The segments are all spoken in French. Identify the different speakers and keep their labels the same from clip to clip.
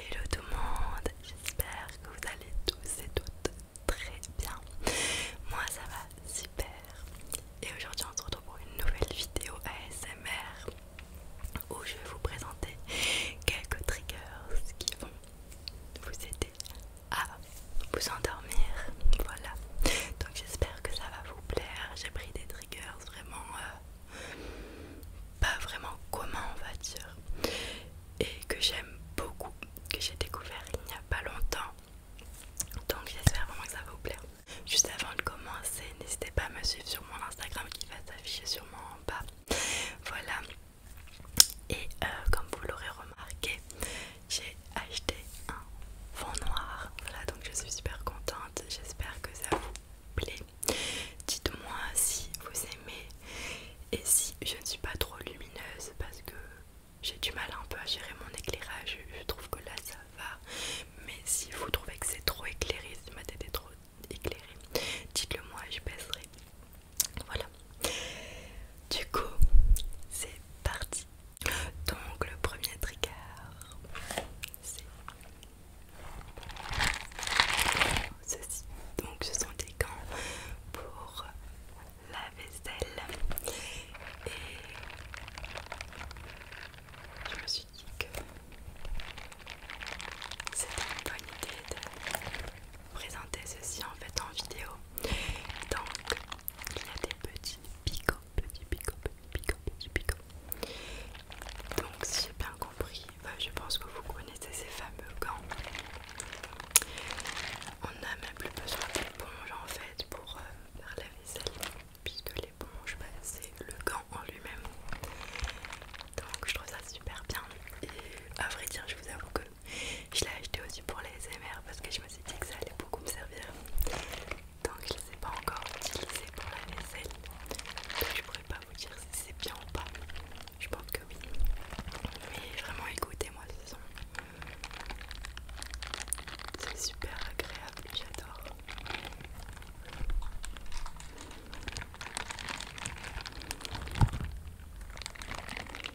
Speaker 1: Hello tout le monde, j'espère que vous allez tous et toutes très bien. Moi ça va super. Et aujourd'hui on se retrouve pour une nouvelle vidéo ASMR où je vais vous présenter quelques triggers qui vont vous aider à vous endormir. Voilà. Donc j'espère que ça va vous plaire. J'ai pris des triggers vraiment euh, pas vraiment communs on va dire et que j'aime beaucoup, que j'ai découvert il n'y a pas longtemps. Donc j'espère vraiment que ça va vous plaire. Juste avant de commencer, n'hésitez pas à me suivre sur mon Instagram qui va s'afficher sûrement en bas. Voilà. Et euh, comme vous l'aurez remarqué, j'ai acheté un fond noir. Voilà, donc je suis super contente. J'espère que ça vous plaît. Dites-moi si vous aimez et si je ne suis pas trop lumineuse parce que j'ai du mal un peu à gérer mon éclairage. Je trouve que là ça va. Mais si vous trouvez que c'est trop éclairé, si ma tête est trop éclairée, dites-le moi, je baisserai. Voilà. Du coup, c'est parti. Donc le premier trigger, c'est ceci. Donc ce sont des gants pour la vaisselle. Et je me suis dit que c'était une bonne idée de présenter ceci en fait en vidéo. Donc il a des petits picots, petits picots, petits picots, petits picots. Donc, si j'ai bien compris, bah, je pense que vous connaissez ces fameux gants. On n'a même plus besoin d'éponge en fait pour euh, faire la vaisselle, puisque l'éponge, bah, c'est le gant en lui-même. Donc, je trouve ça super bien. Et à vrai dire, je vous avoue que je l'ai acheté aussi pour les SMR parce que je me suis dit que ça allait beaucoup me servir. Donc je ne pas encore utilisés pour la vaisselle. Donc je pourrais pas vous dire si c'est bien ou pas. Je pense que oui. Mais vraiment écoutez-moi ce son. Euh, c'est super agréable, j'adore.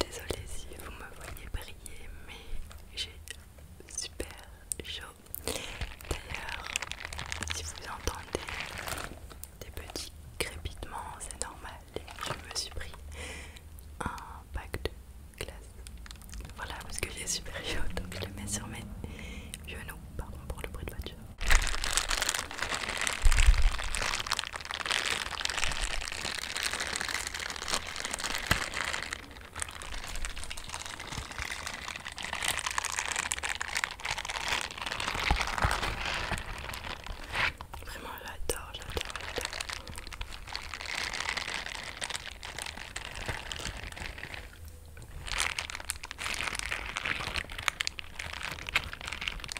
Speaker 1: Désolée si vous me voyez briller, mais j'ai super chaud. D'ailleurs, si vous entendez des petits crépitements, c'est normal. Je me suis pris un pack de glace. Voilà, parce que j'ai super chaud, donc je le mets sur mes genoux. Pardon pour le bruit de voiture. Vraiment, j'adore, j'adore.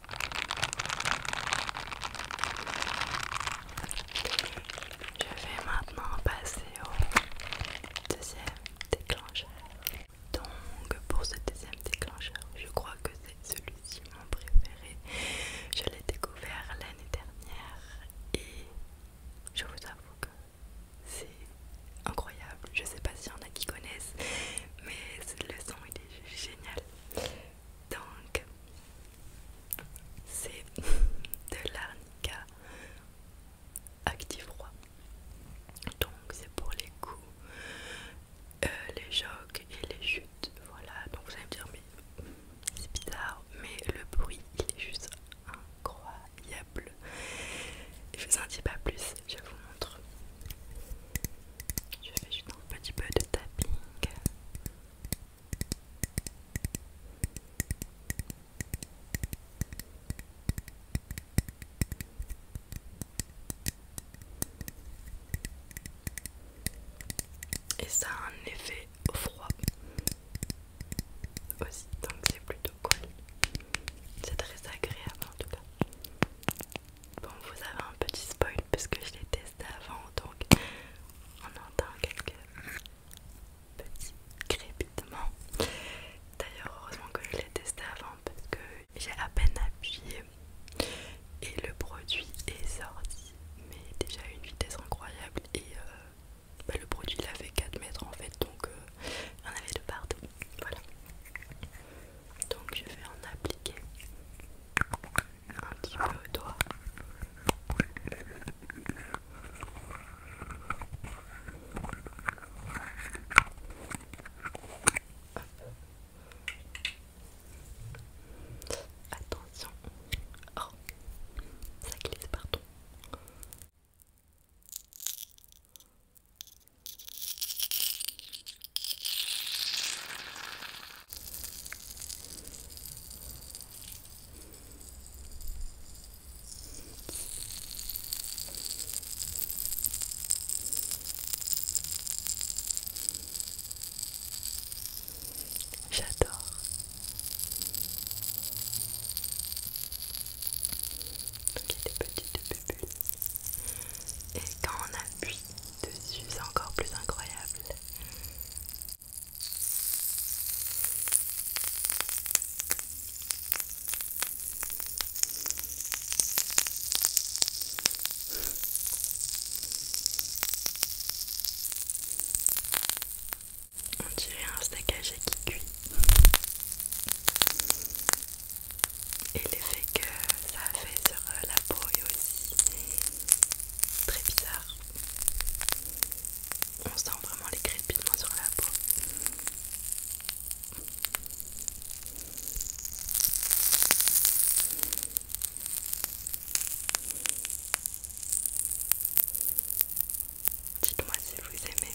Speaker 1: Je vais maintenant passer au deuxième déclencheur. Donc pour ce deuxième déclencheur, je crois que c'est celui-ci mon préféré. Je l'ai découvert l'année dernière et je vous avoue que c'est incroyable. Je sais pas s'il y en a qui connaissent, mais le son est génial. Donc, c'est de l'arnica active roi. Donc, c'est pour les coups, euh, les jocs et les chutes. Voilà, donc vous allez me dire, mais c'est bizarre, mais le bruit il est juste incroyable. Je vous en dis pas plus, je vous montre. Je fais juste un petit peu de tapping. Et ça a un effet froid aussi, donc c'est plutôt cool. C'est très agréable en tout cas. Bon, vous avez un petit spoil parce que je l'ai testé avant, donc on entend quelques petits crépitements. D'ailleurs, heureusement que je l'ai testé avant parce que j'ai à peine appuyé et le produit est sorti, mais déjà à une vitesse incroyable. Et euh, bah, le produit il avait 4 mètres en fait, donc euh, il y en avait de partout. Voilà donc je vais en appliquer un petit peu au doigt. Attention, oh, ça glisse, partout. J'adore. Donc il y a des petites bulles. Et quand on appuie dessus, c'est encore plus incroyable. On dirait un steak qui cuit et l'effet que ça a fait sur euh, la peau est aussi très bizarre. On sent vraiment les crépitements sur la peau. Dites-moi si vous aimez.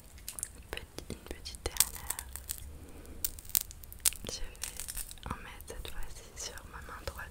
Speaker 1: une petite dernière. Je vais en mettre cette fois-ci sur ma main droite.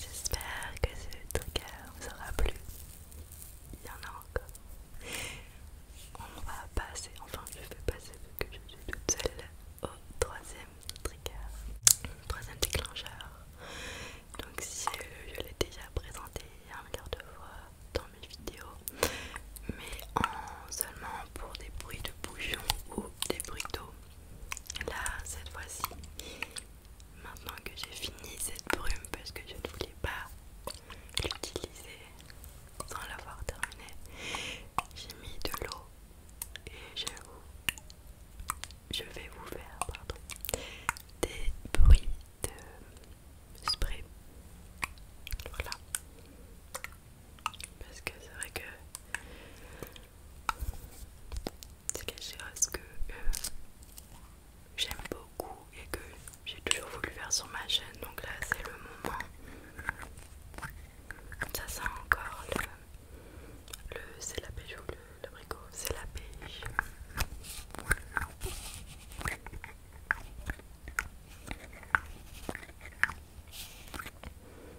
Speaker 1: J'espère que ce trigger vous aura plu. Il y en a encore. On va passer, enfin je vais passer vu que je suis toute seule au troisième trigger, troisième déclencheur. Donc si je, l'ai déjà présenté un milliard de fois dans mes vidéos, mais seulement pour des bruits de bouchons ou des bruits d'eau. Là, cette fois-ci, maintenant que j'ai fini cette brume, parce que je ne voulais pas l'utiliser sans l'avoir terminée, j'ai mis de l'eau et je, vais vous faire des bruits de spray. Voilà parce que c'est vrai que c'est quelque chose que euh, j'aime beaucoup et que j'ai toujours voulu faire sur ma chaîne donc là c'est le moment ça sent encore le, le c'est la pêche ou le bricot c'est la pêche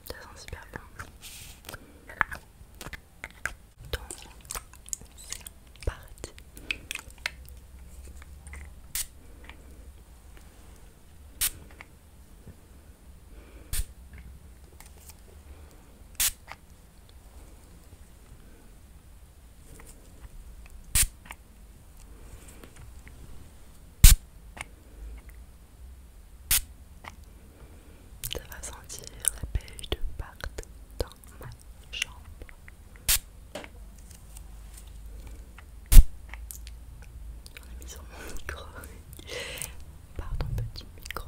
Speaker 1: ça sent super bon. Donc c'est parti. Ça va sentir la pêche de partout dans ma chambre. J'en ai mis sur mon micro. Pardon, petit micro.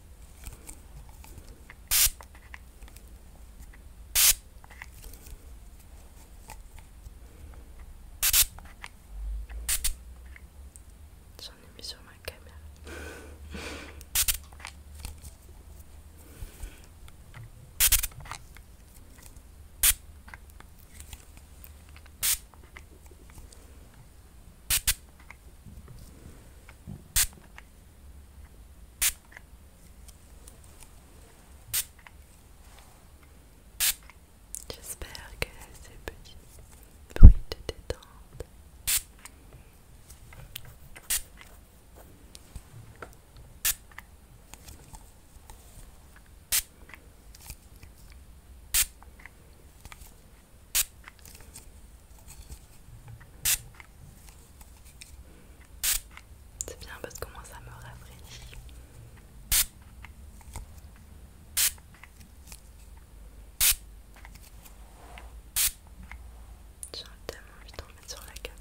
Speaker 1: J'en ai mis sur ma caméra. J'espère que ces petits bruits te détendent. C'est bien parce que moi ça me rafraîchit. J'ai tellement envie d'en mettre sur la caméra.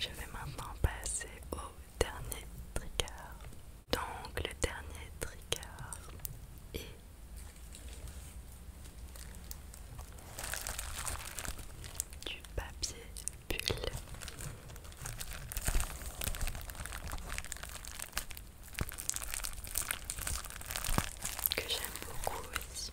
Speaker 1: Je vais maintenant passer au dernier trigger. Donc le dernier trigger est du papier bulle. Que j'aime beaucoup aussi.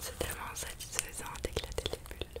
Speaker 1: C'est tellement satisfaisant d'éclater les bulles.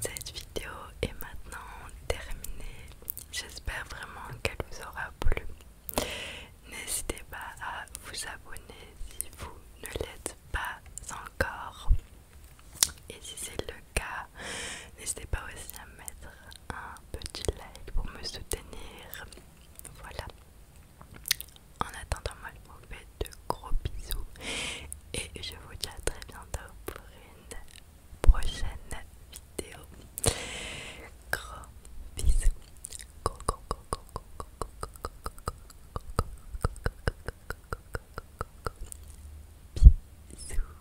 Speaker 1: Cette vidéo est maintenant terminée. J'espère vraiment qu'elle vous aura plu. N'hésitez pas à vous abonner si vous ne l'êtes pas encore. Et si c'est le cas, n'hésitez pas aussi à mettre un petit like pour me soutenir. Voilà. En attendant, moi je vous fais de gros bisous et je vous dis à très bientôt pour une prochaine vidéo. Gros bisous. gros, bisous.